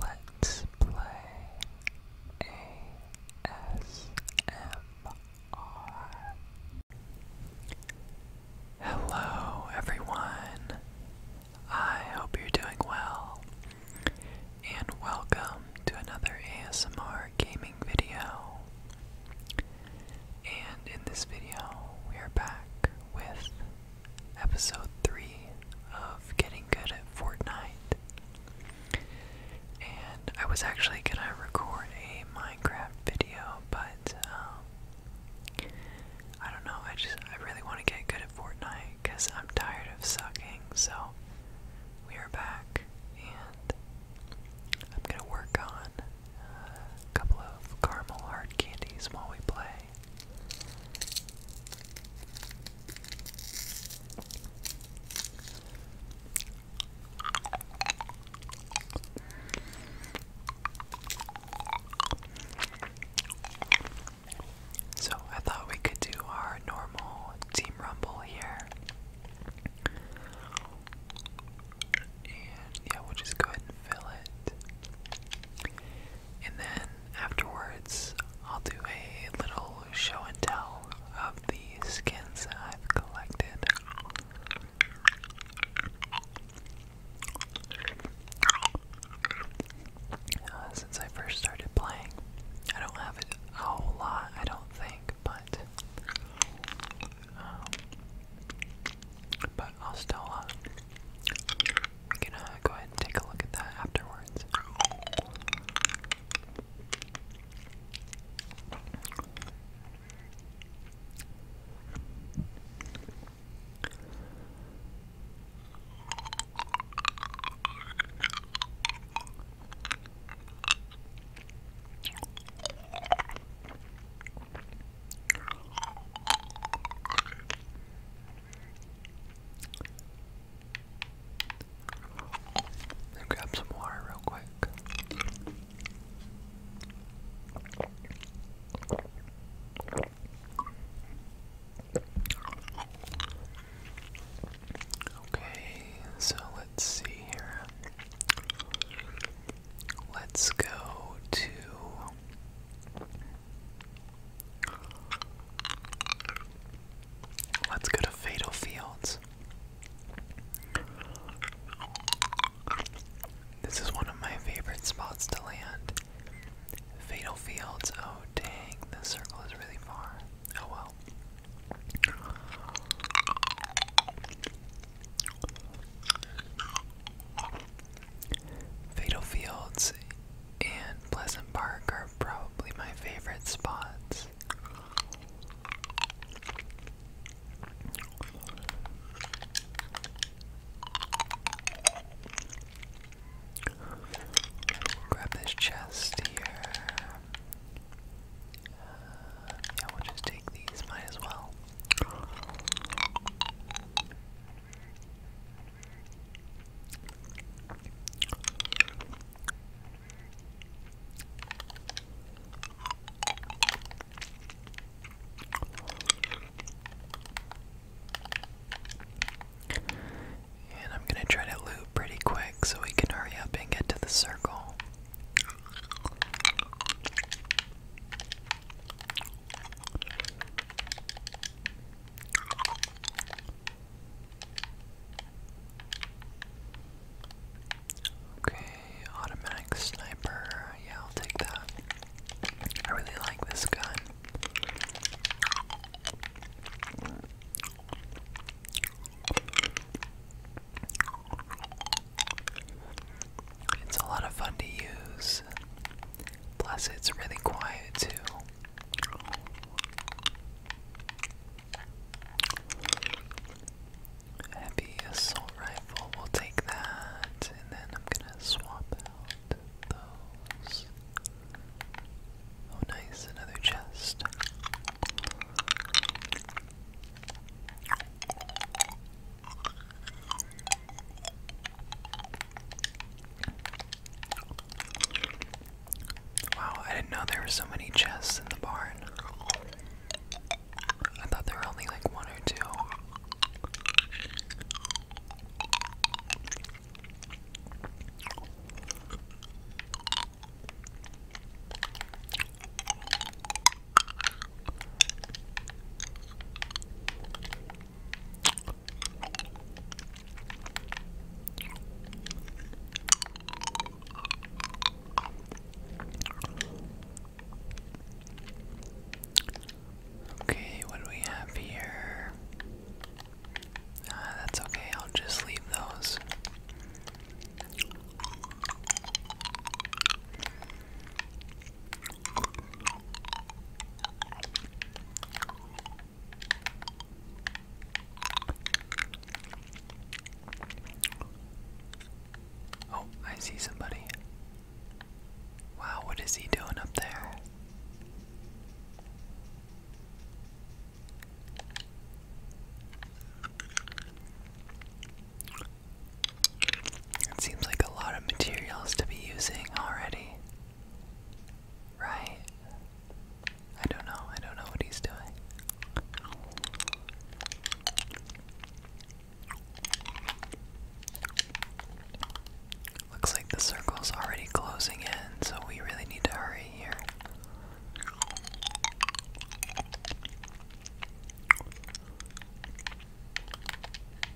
Let's play ASMR. Hello, everyone. I hope you're doing well, and welcome to another ASMR gaming video. And in this video, we are back with episode 3 of Getting Good at Fortnite. And I was actually gonna record a Minecraft video, but um, I don't know, I just I really want to get good at Fortnite because I'm tired of sucking, so we are back and I'm gonna work on uh, a couple of caramel hard candies while we play. So, I thought we could do our normal team rumble here. And yeah, we'll just go ahead and fill it. And then afterwards, I'll do a little show and tell of the skins that I've collected. Uh, since I first started playing, I don't have a whole lot, I don't think, but um, but I'll still uh, we are gonna go ahead and take a look at that afterwards. Let grab some water real quick. Okay, so let's see here. Let's go to Let's go to Fatal Fields. This is one of my favorite spots to land. Fatal Fields. Oh, dang, the circle is really far. Oh well. Fatal Fields and Pleasant Park are probably my favorite spots. Grab this chest here. Uh, we'll just take these, might as well. And I'm going to try to loop pretty quick so we can hurry up and get to the circle. Okay, automatic sniper. Yeah, I'll take that. I really like this gun. It's a lot of fun to use. Plus, it's really quiet too. Heavy assault rifle, we'll take that, and then I'm gonna swap out those. Oh, nice, another chest. Wow, I didn't know there were so many chests in the barn. I thought there were only like one or two. Okay, what do we have here? Uh, that's okay, I'll just leave those. Oh, I see somebody. Wow, what is he doing up there? It seems like a lot of materials to be using already. Right? I don't know. I don't know what he's doing. Looks like the circle's already closing in, so we really need to hurry here.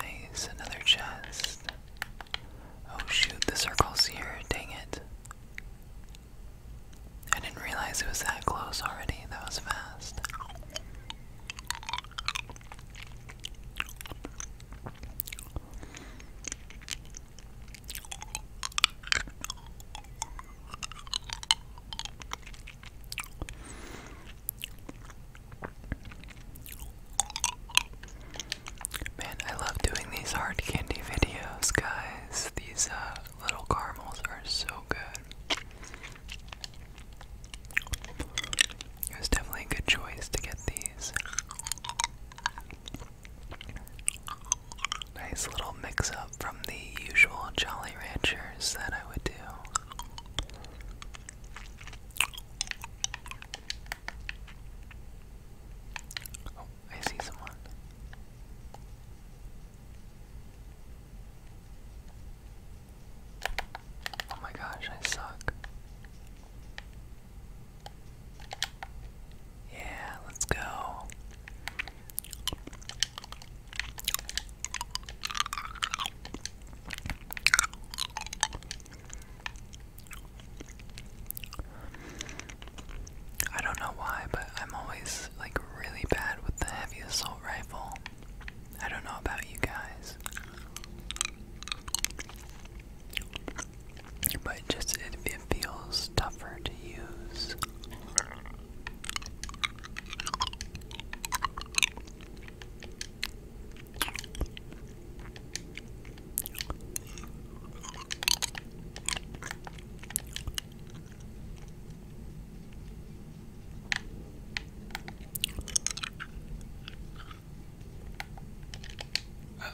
Nice, another chest. Oh shoot, the circle's here, dang it. I didn't realize it was that close already, that was fast. Man, I love doing these hard candy videos, guys. These uh, little caramels are so good. It was definitely a good choice to get these. Nice little mix up from the usual Jolly Ranchers that I would do. Oh, I see someone. Oh my gosh, I suck. Yeah, let's go. I don't know why, but I'm always like really bad with the heavy assault rifle. I don't know about you guys. But just it, it feels tougher to use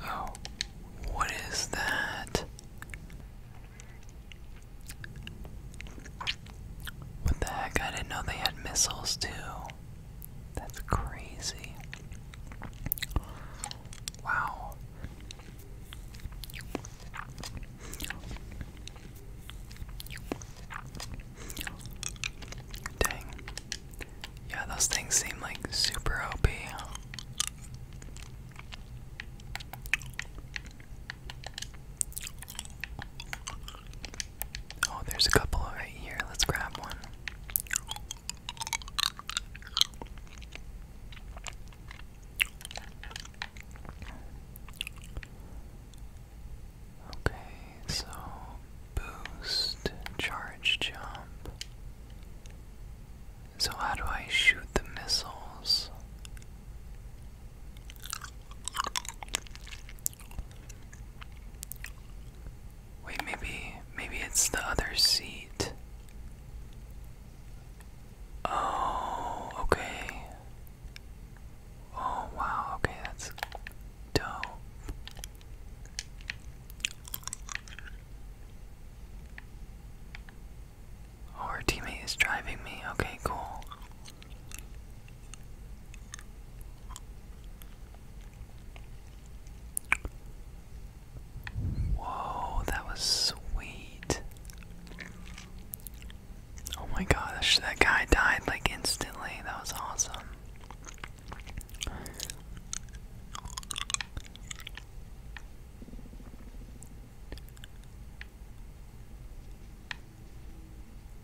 oh, what is that? What the heck? I didn't know they had missiles too. That's crazy. Wow. Dang. Yeah, those things seem like super OP. Oh, there's a couple right here. Let's grab one. Okay, so boost, charge jump, so, how do I shoot the missiles? Wait, maybe, maybe it's the other seat. Oh, okay. Oh, wow, okay, that's dope. Oh, our teammate is driving me. Okay, cool. Whoa, that was sweet. Oh my gosh, that guy died like instantly. That was awesome.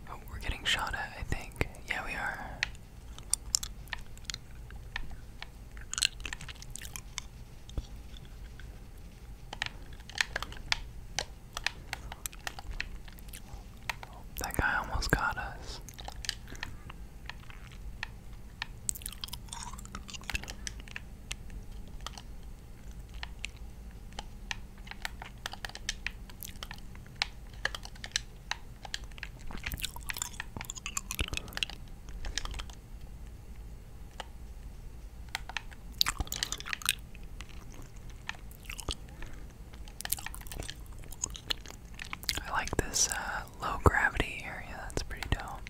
Oh, we're getting shot at, I think. Yeah, we are. That guy almost got us. I like this uh, low gravity area, that's pretty dope.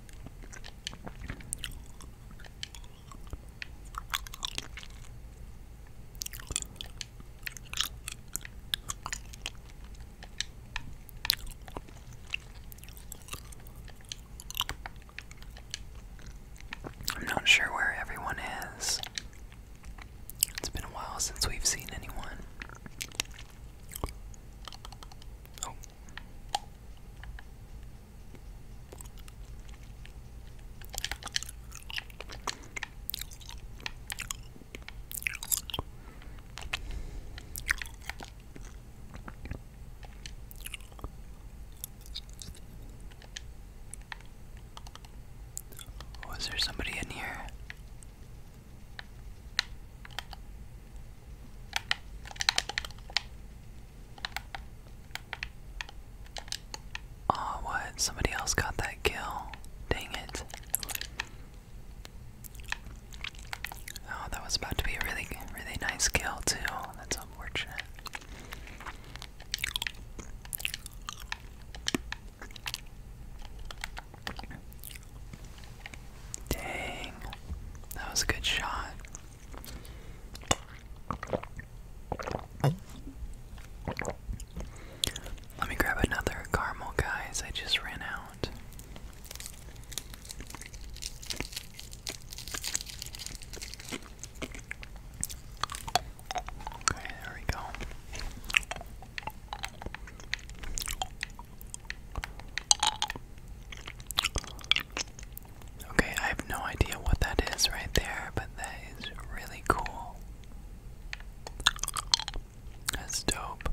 I'm not sure where everyone is. It's been a while since we've seen anyone. Oh, was oh, there somebody in here? Oh, what? Somebody else got that kill. Dang it. Oh, that was about to be a really, really nice kill, too. That's unfortunate. Dang. That was a good shot. Let me grab another caramel, guys. I just ran out. Okay, there we go. Okay, I have no idea what that is right there, but that is really cool. That's dope.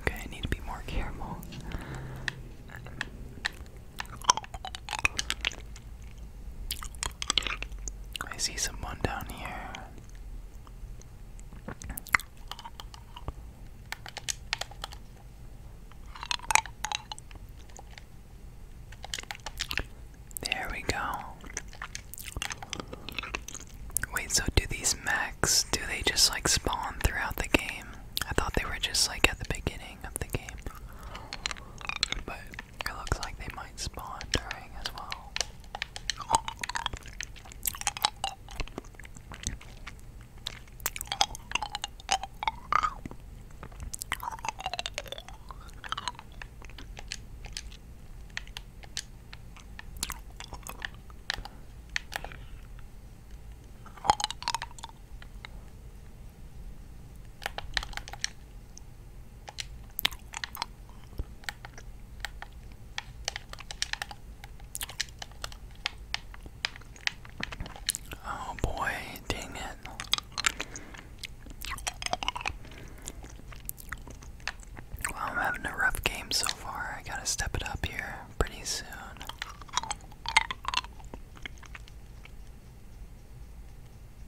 Okay, I need to be more careful. I see someone down here. There we go. Wait, so do these mags? do they just like spawn throughout the game? I thought they were just like at the beginning of the game. But it looks like they might spawn during as well. Oh boy, dang it. I'm having a rough game so far. I gotta step it up here pretty soon.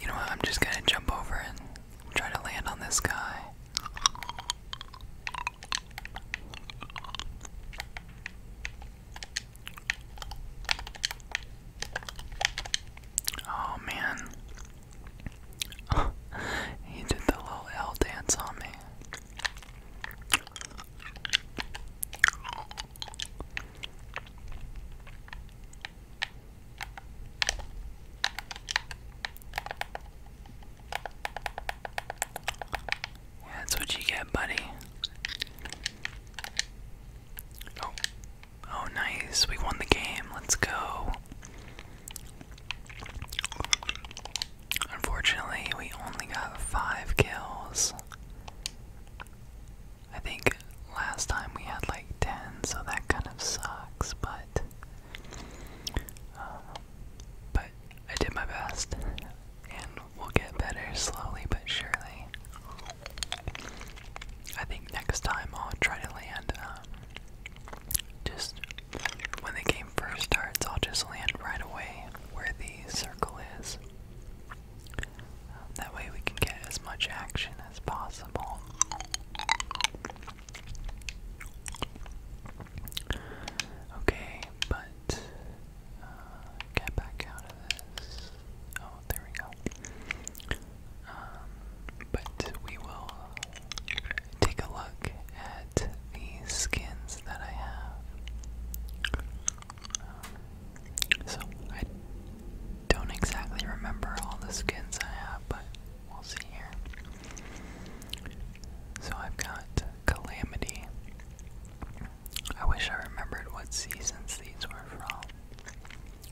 You know I'm just gonna jump over and try to land on this guy. Oh man. he did the little L dance on me. that's what you get, buddy. Oh. oh, nice. We won the game. Let's go. Unfortunately, we only got five kills. I think last time we had like 10, so that kind of sucks, but. Uh, but I did my best, and we'll get better slowly but surely. I think next time I'll try to land um, just when the game first starts, I'll just land right away where the circle is. That way we can get as much action as possible. Okay, but uh, get back out of this. Oh, there we go. Um, but we will take a look at the skins that I have. Um, so I don't exactly remember all the skins I have, but we'll see here. So I've got Calamity. I wish I remembered what seasons these were from.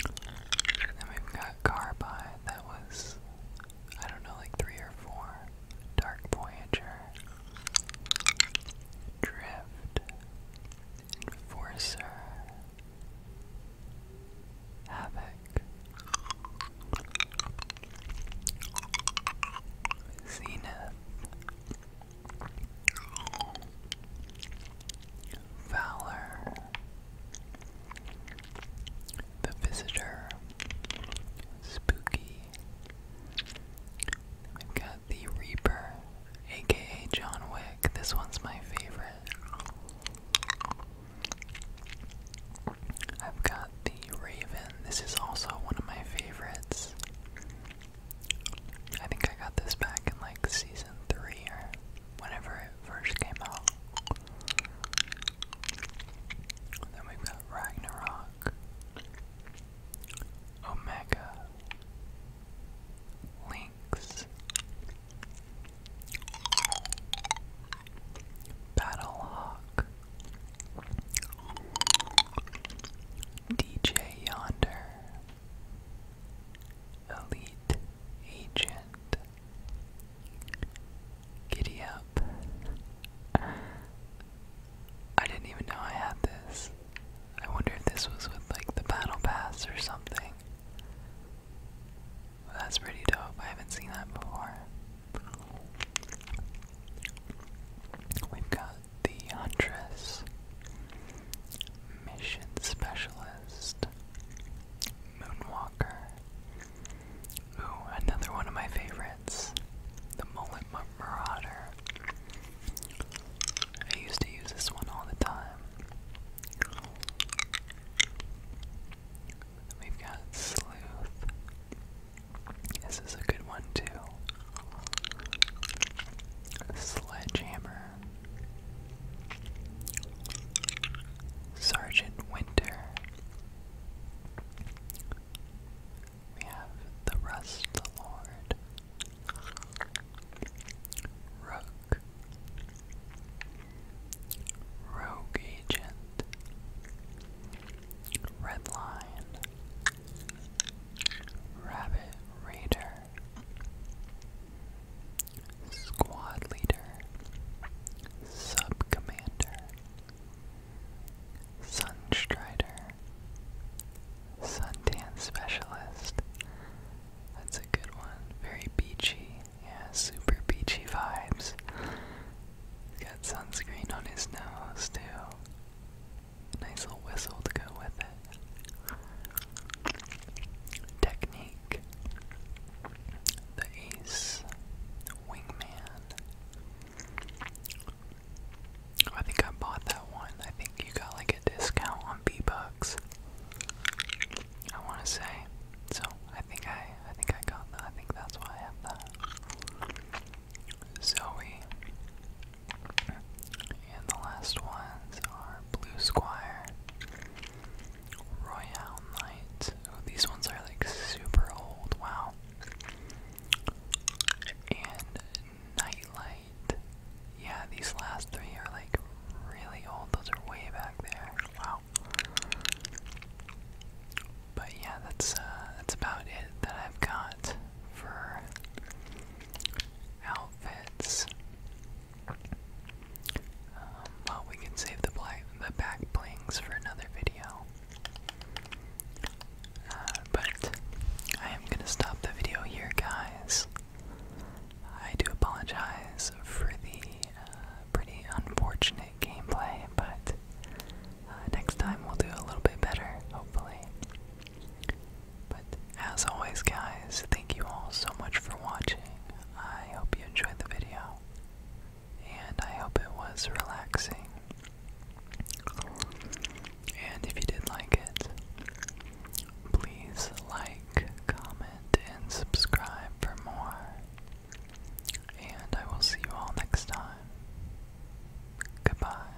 And we've got Carbide, that was, I don't know, like three or four. Dark Voyager, Drift, Enforcer, Havoc, Zenith, Valor, the Visitor, Spooky. We've got The Reaper, aka John Wick. This one's my favorite. I've got The Raven. This is also one of my favorites. I think I got this back in like season three whenever it first came out. Then we've got Ragnarok, Omega, Lynx, Battlehawk, DJ Yonder, Elite Agent, Giddy up. I didn't even know I had this. I wonder if this was with like the battle pass or something. that's pretty dope. I haven't seen that before. We've got the Huntress, Mission Specialist, Moonwalker. Ooh, another one of my favorites. The Mullet Marauder. I used to use this one all the time. We've got Sleuth. This is a good one too. Sledgehammer. Sergeant Winter. We have the Rust Lord. Rogue. Rogue Agent. Redline. Rabbit Raider squad leader, sub commander, sunstrider, suntan specialist. That's a good one. Very beachy. Yeah, super beachy vibes. got sunscreen on his nose, too. Nice little whistle to go with it. Technique. The Ace, Wingman. I think I bought that one. I think you got like a discount on B-Bucks. I wanna say. So I think I I think I got that. I think that's why I have that. Zoe. And the last ones are Blue Squire, Royale Knight. Oh, these ones are like super old. Wow. And Nightlight. Yeah, these last three are like really old. Those are way back there. Wow. But yeah, that's uh, that's about it that I've got for outfits. Um, well, we can save the, back blings for another video. Uh, but I am gonna stop the video here, guys. I do apologize for the uh, pretty unfortunate gameplay, but uh, next time we'll do a little bit better, hopefully as always, guys, thank you all so much for watching. I hope you enjoyed the video, and I hope it was relaxing. And if you did like it, please like, comment, and subscribe for more. And I will see you all next time. Goodbye.